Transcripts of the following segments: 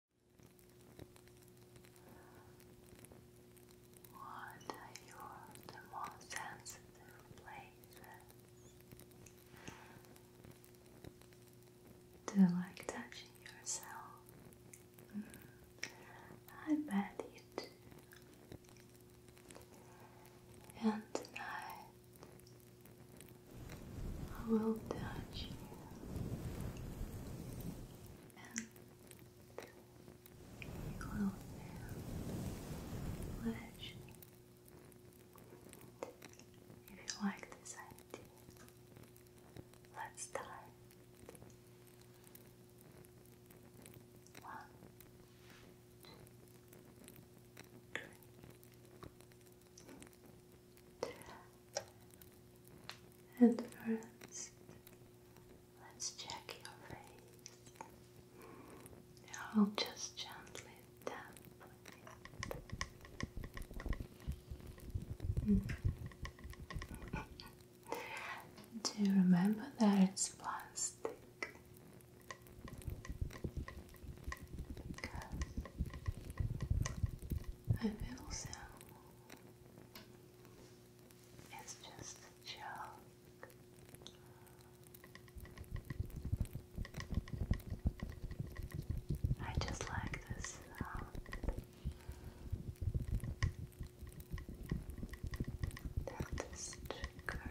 What are your the sensitive places? Do you like touching yourself? Mm, I bet you do. And tonight I will touch you and close down flash. If you like this idea, let's start. One, two, three first, let's check your face. I'll just gently tap mm. Do you remember that it's plastic? I feel so. It's just a joke. I just like this sound. That is trigger.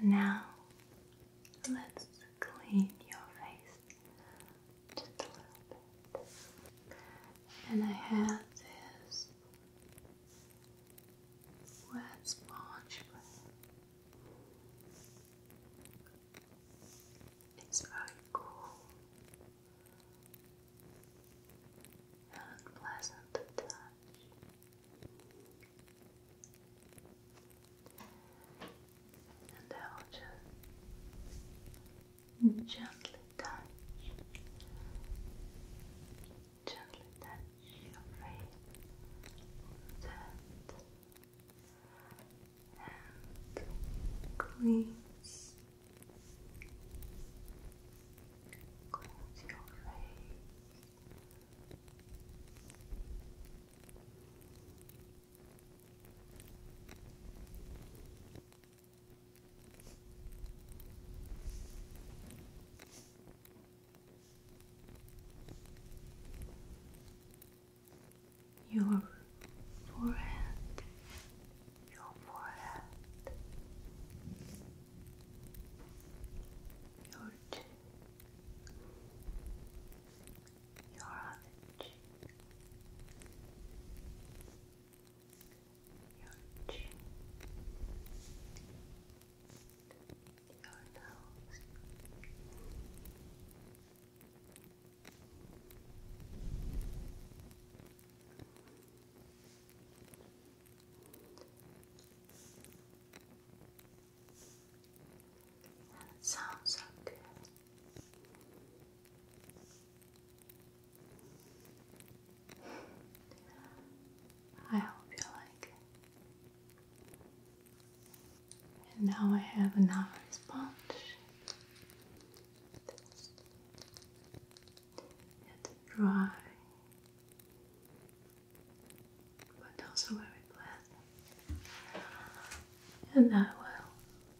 And now let's clean your face and I have this wet sponge It's very cool and pleasant to touch. And I will just Gently touch, gently touch your face that and cleanse your face. Your forehead, your forehead, your cheek, your other cheek, your chin, your nose. sounds so good. I hope you like And now I have another sponge. It's dry, but also very pleasant. And I will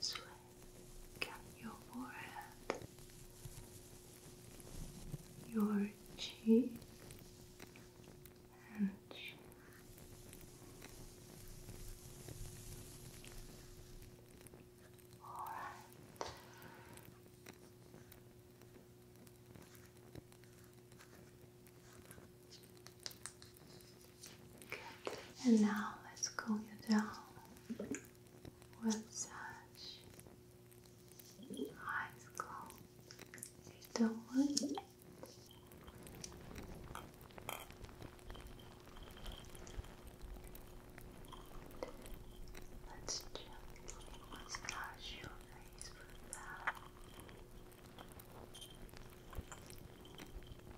Sweat down your forehead, your cheek, and chin. All right. And now let's cool you down with eyes closed. Don't worry. Let's gently massage your face with that.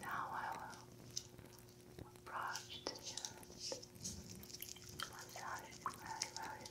Now I will approach the unit, massaging very, very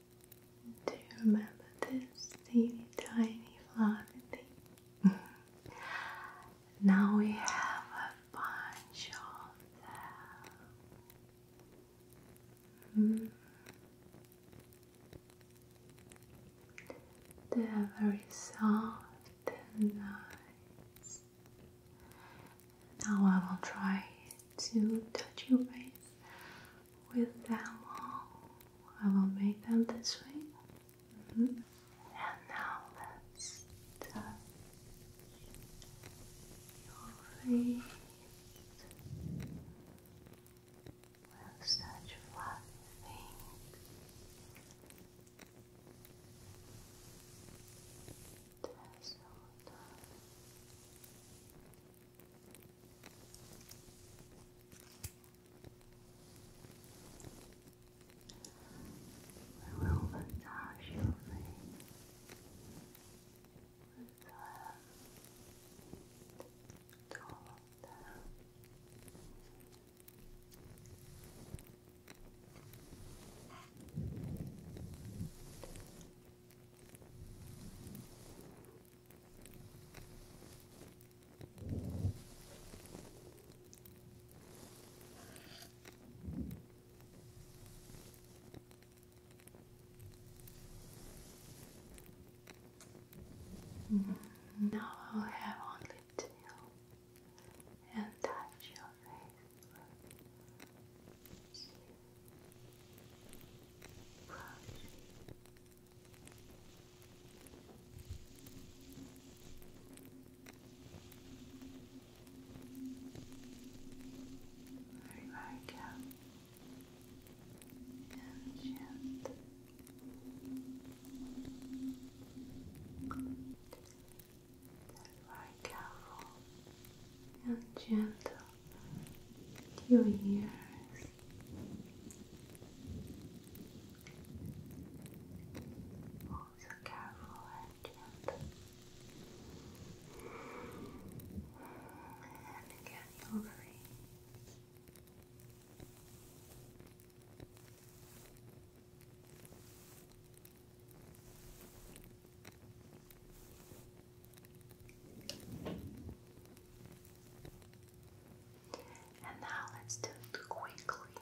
Do you remember this teeny tiny fluffy now we have a bunch of them. Hmm. They are very soft and nice. Now I will try to touch your face with them all. I will make them this way. Mm-hmm. And now let's touch your face. With such fluffy things. We will massage your face with the all of them. Relax. Now I'll have only two and touch your face brush. Very right and gentle. Very careful and gentle to your ears. Also careful and gentle. And again, your face. And now let's do it quickly.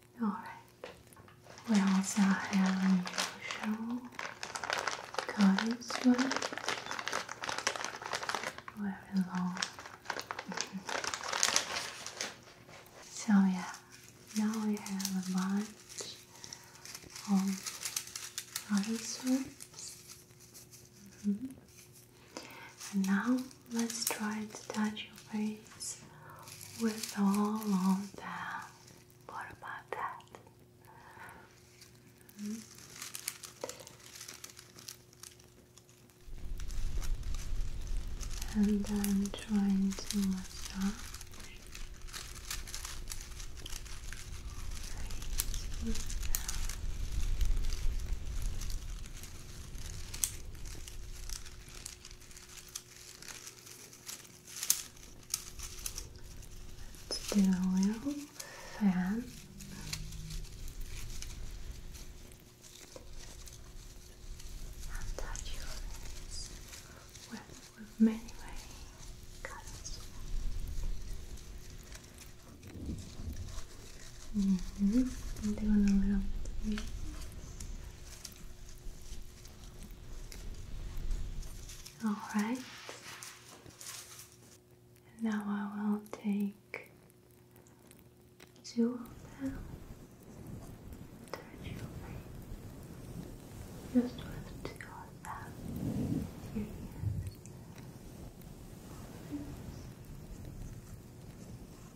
Alright, we also have unusual goddess words. Very long. so, yeah, now we have a bunch of goddess words. Mm-hmm. And now let's try to touch your face with all of them. What about that? Hmm? And I'm trying to massage. Let's do a little fan. touch your face with, many, many colors. Mm mm-hmm. Doing a little all right. Now I will take two of them. Touch your face. Just with two of them. Your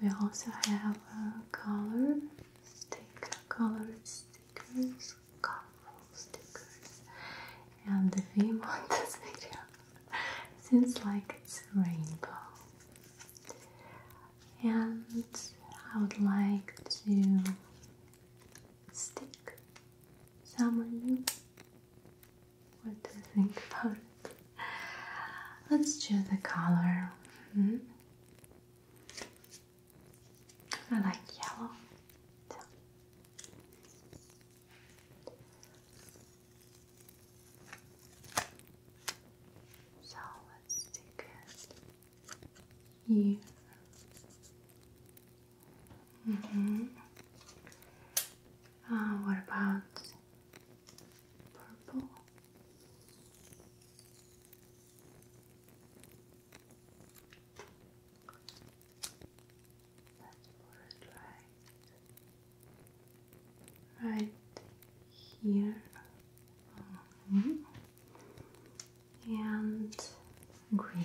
We also have a color stick, colored stickers, colorful stickers, and the theme of this video seems like it's rainbow. And I would like to stick some of you. What do you think about it? Let's choose the color. Hmm? I like yellow. So. let's take it here. Mm-hmm. Uh, what about purple? right, here. Mm-hmm. And green.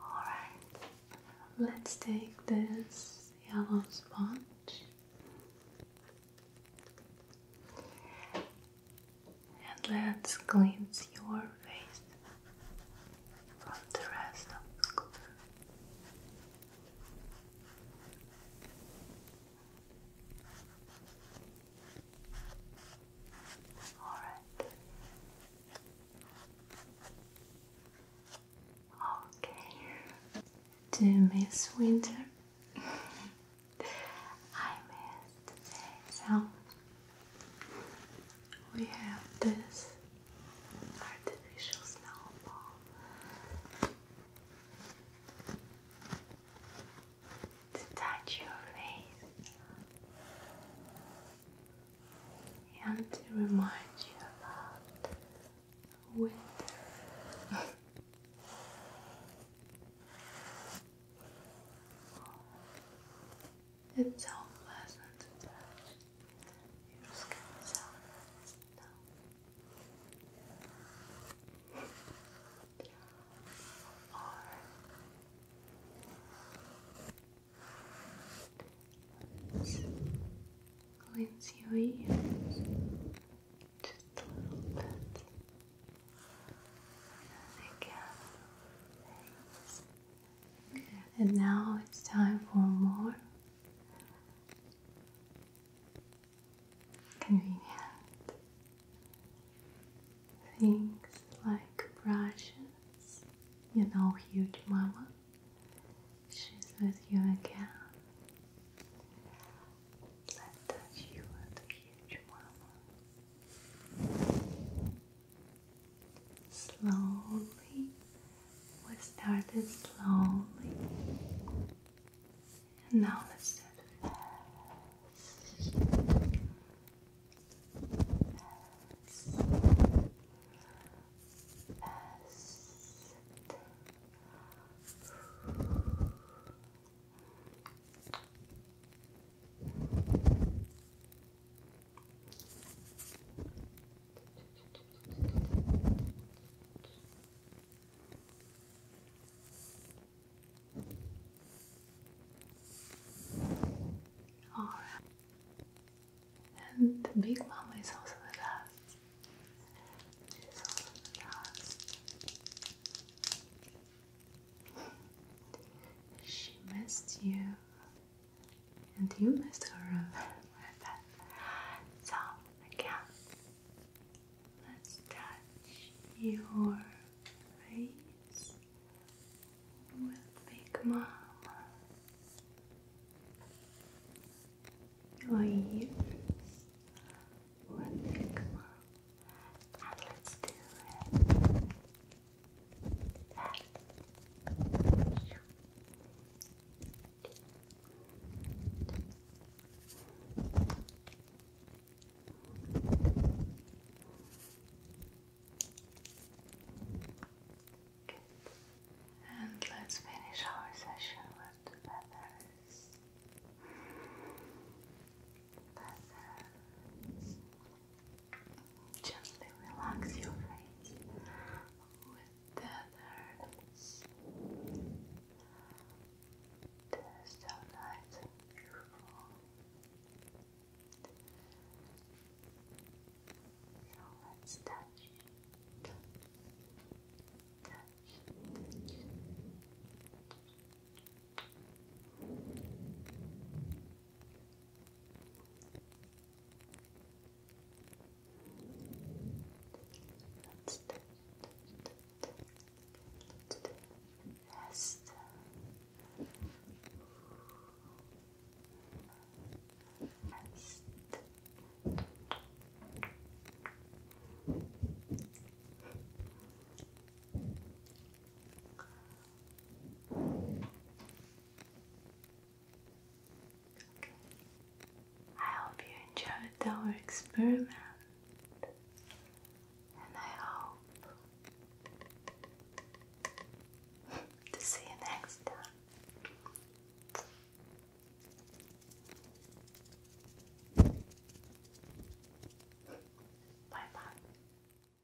Alright, let's take this yellow sponge and let's cleanse your face from the rest of the cover. All right. Okay. Do miss winter? I miss the day, we have this artificial snowball. To touch your face and to remind you about winter. it's so pleasant to touch. Your just a little bit. Again, and now it's time for more convenient things like brushes. You know, huge mama, she's with you again. let touch you with huge mama slowly. We started slowly. And now let's start fast. And big mama is also the last. she missed you. And you, Mr. Ruben. So, again, let's touch your face with Big Mama. Your ears with Big Mama. let's do it. And let's finish our session with feathers. Feathers. Just relax your face with the nerves. beautiful. So let's touch, touch, touch Let's do it. Let's do it. Yes. Rest. Rest. I hope you enjoyed our experiment, and I hope to see you next time. Bye bye.